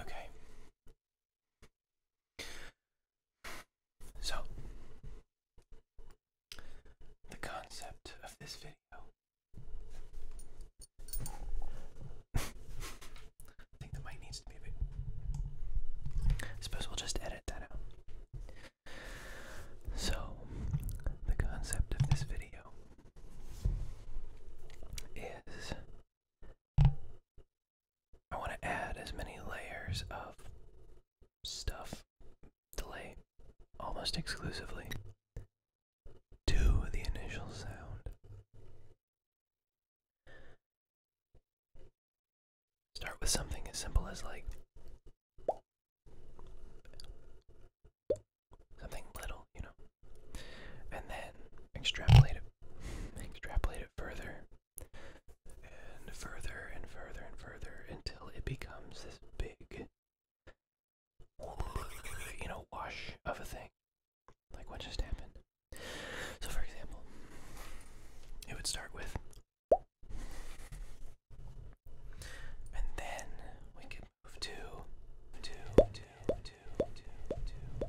Okay. So, the concept of this video. I think the mic needs to be I suppose we'll just edit that out. So, the concept of this video is I want to add as many layers of stuff delay almost exclusively to the initial sound. Start with something as simple as like Something little, you know. And then extrapolate it extrapolate it further and further and further and further until it becomes this big you know, wash of a thing. Like what just happened. So for example, it would start with and then we could Move two, two, two, two, two, two, two, two.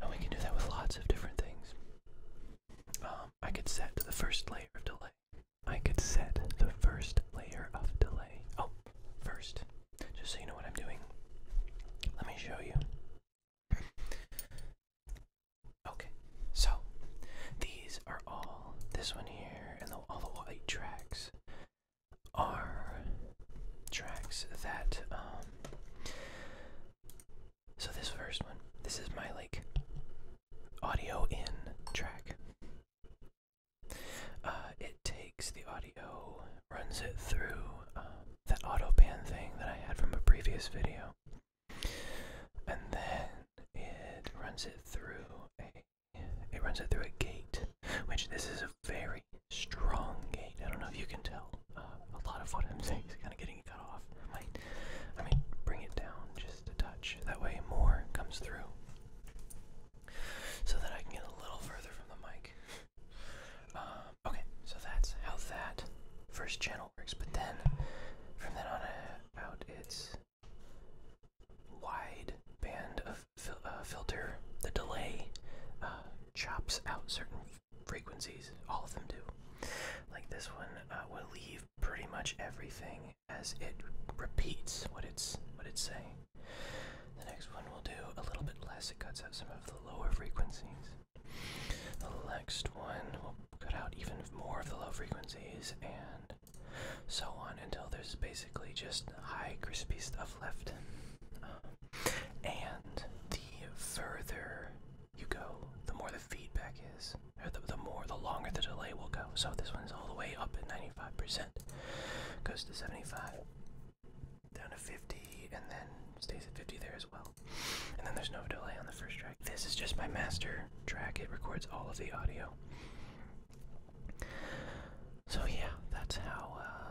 And we can do that with lots of different things. Um, I could set the first layer of delay. I could set the first layer of delay. Oh, first, just so you know what I'm doing, let me show you. Okay, so these are all this one here and all the white tracks are tracks that um, so this first one this is my like audio in track uh, it takes the audio runs it through um, that auto pan thing that I had from a previous video and then it runs it through a it runs it through a gate, which this is a very strong gate. I don't know if you can tell. Uh, a lot of what I'm saying is kind of getting cut off. I might, I mean, bring it down just a touch. That way, more comes through, so that I can get a little further from the mic. Um, Okay, so that's how that first channel works, but then from then on uh, out, it's wide band of uh, filter. The delay uh, chops out certain frequencies. All of them do. Like this one will leave pretty much everything as it repeats what it's what it's saying. The next one will do a little bit less. It cuts out some of the lower frequencies. The next one will cut out even more of the low frequencies and so on until there's basically just high crispy stuff left. Um, and the further you go, the more the feedback is, or the more, the longer the delay will go. So this one's all the way up at 95%, goes to 75, down to 50, and then stays at 50 there as well. And then there's no delay on the first track. This is just my master track, it records all of the audio. So yeah, that's how uh,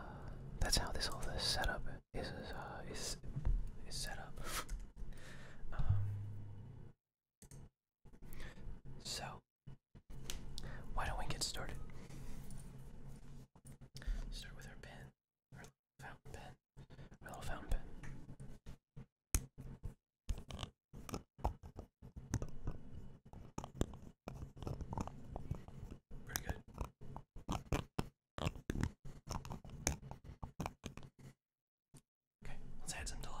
that's how this whole this setup is uh, is is set up. Um, so why don't we get started? Start with our pen, our fountain pen little fountain pen. Pretty good. Okay,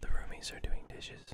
The roomies are doing dishes.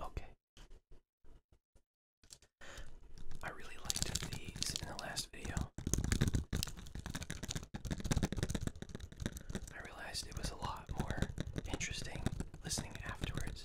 Okay. I really liked these in the last video. I realized it was a lot more interesting listening afterwards.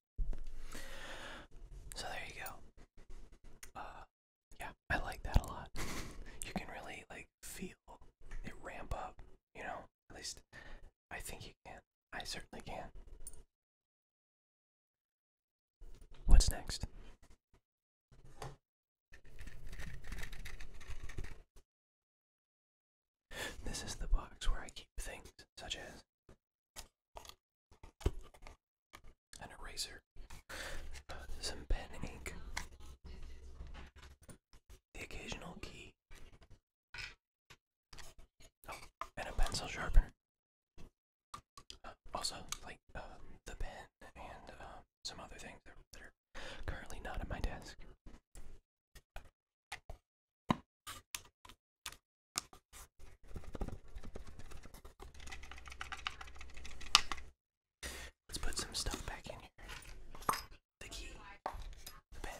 So there you go. Uh, yeah, I like that a lot. you can really like feel it ramp up, you know? At least I think you can. I certainly can. What's next? This is the box where I keep things such as an eraser, uh, some pen and ink, the occasional key, oh, and a pencil sharpener. Uh, also, like um, the pen and uh, some other things that are currently not at my desk. Let's put some stuff back in here. The key, the pen.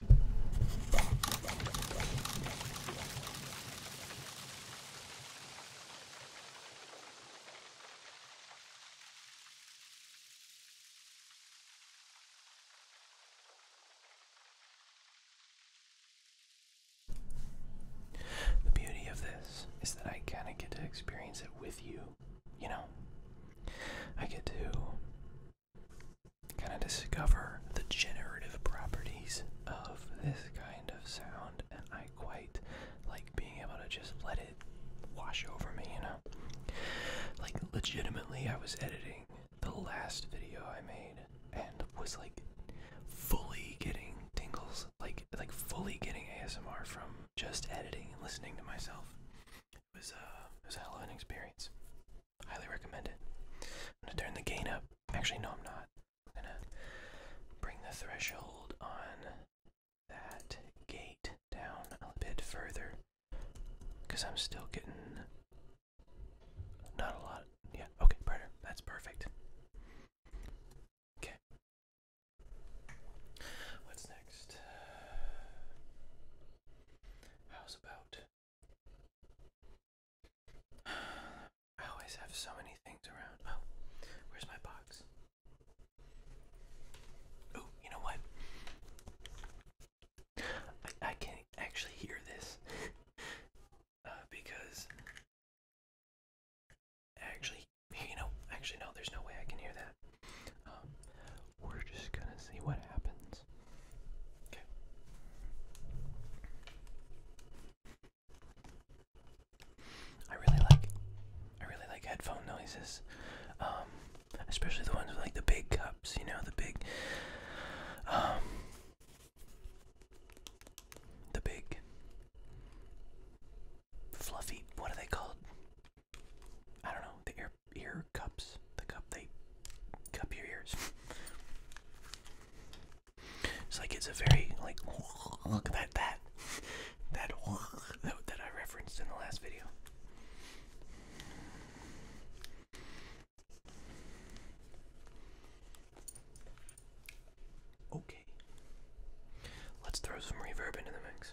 The beauty of this is that I kind of get to experience it with you, you know? I get to kind of discover the generative properties of this kind of sound, and I quite like being able to just let it wash over me, you know? Like, legitimately, I was editing the last video I made and was like fully getting tingles, like, like fully getting ASMR from just editing and listening to myself. It was, a uh, it was a hell of an experience. Highly recommend it. I'm gonna turn the gain up. Actually, no, I'm not. I'm gonna bring the threshold on that gate down a bit further because I'm still getting not a lot. Yeah, okay, brighter. That's perfect. Okay. What's next? How's about I always have so many things around. Oh, where's my box? Oh, you know what? I, I can actually hear this uh, because actually, you know, actually no, there's no way I can hear that. Um, we're just gonna see what happens. I really like I really like headphone noises. Um, especially the ones with like the big cups, you know, the big um, the big fluffy what are they called? I don't know, the ear ear cups. The cup they cup your ears. It's like it's a very like look that that that that that I referenced in the last video. Okay. Let's throw some reverb into the mix.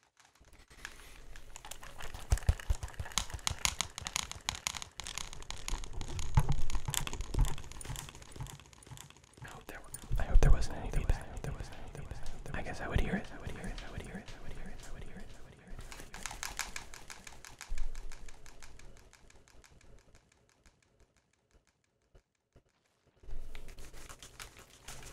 I hope there, wasn't any I guess I would hear it. I would hear it. I would hear it. I would hear it. I would hear it.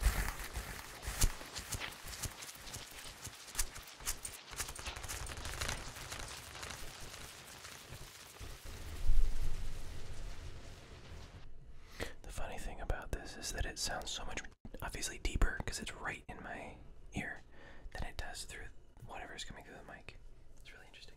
The funny thing about this is that it sounds so much obviously deeper because it's right in my ear than it does through whatever's coming through the mic. It's really interesting.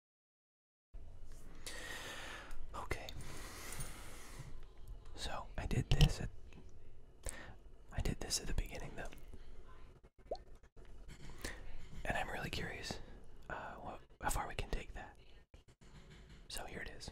Okay. So I did this at I did this at the beginning though. And I'm really curious uh, how far we can take that. So here it is.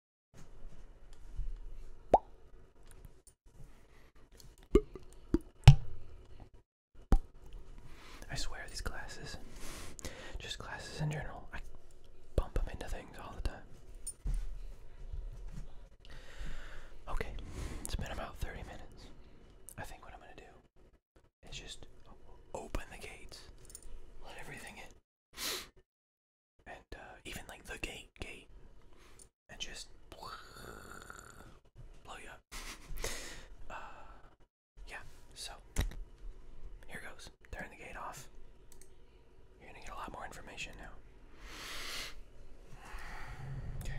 I swear these glasses, just glasses in general, I bump them into things all the time. Okay, it's been about 30 minutes. I think what I'm gonna do is just open the gates, let everything in and uh, even like the gate gate and just blow you up uh, yeah so here goes turn the gate off you're gonna get a lot more information now okay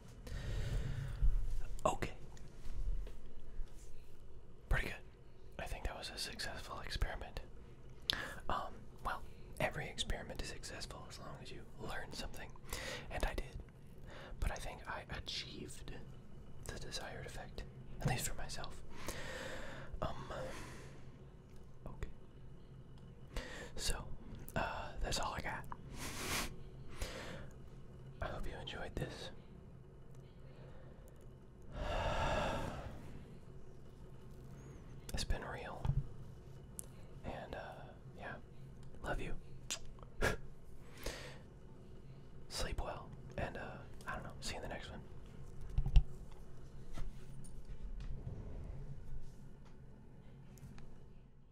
Okay. Pretty good. I think that was a successful experiment. Um, well, every experiment is successful as long as you learn something. And I did. But I think I achieved the desired effect, at least for myself. Um, okay. So, uh, that's all I got. I hope you enjoyed this. It's been real. And, uh, yeah. Love you. Sleep well. And, uh, I don't know. See you in the next one.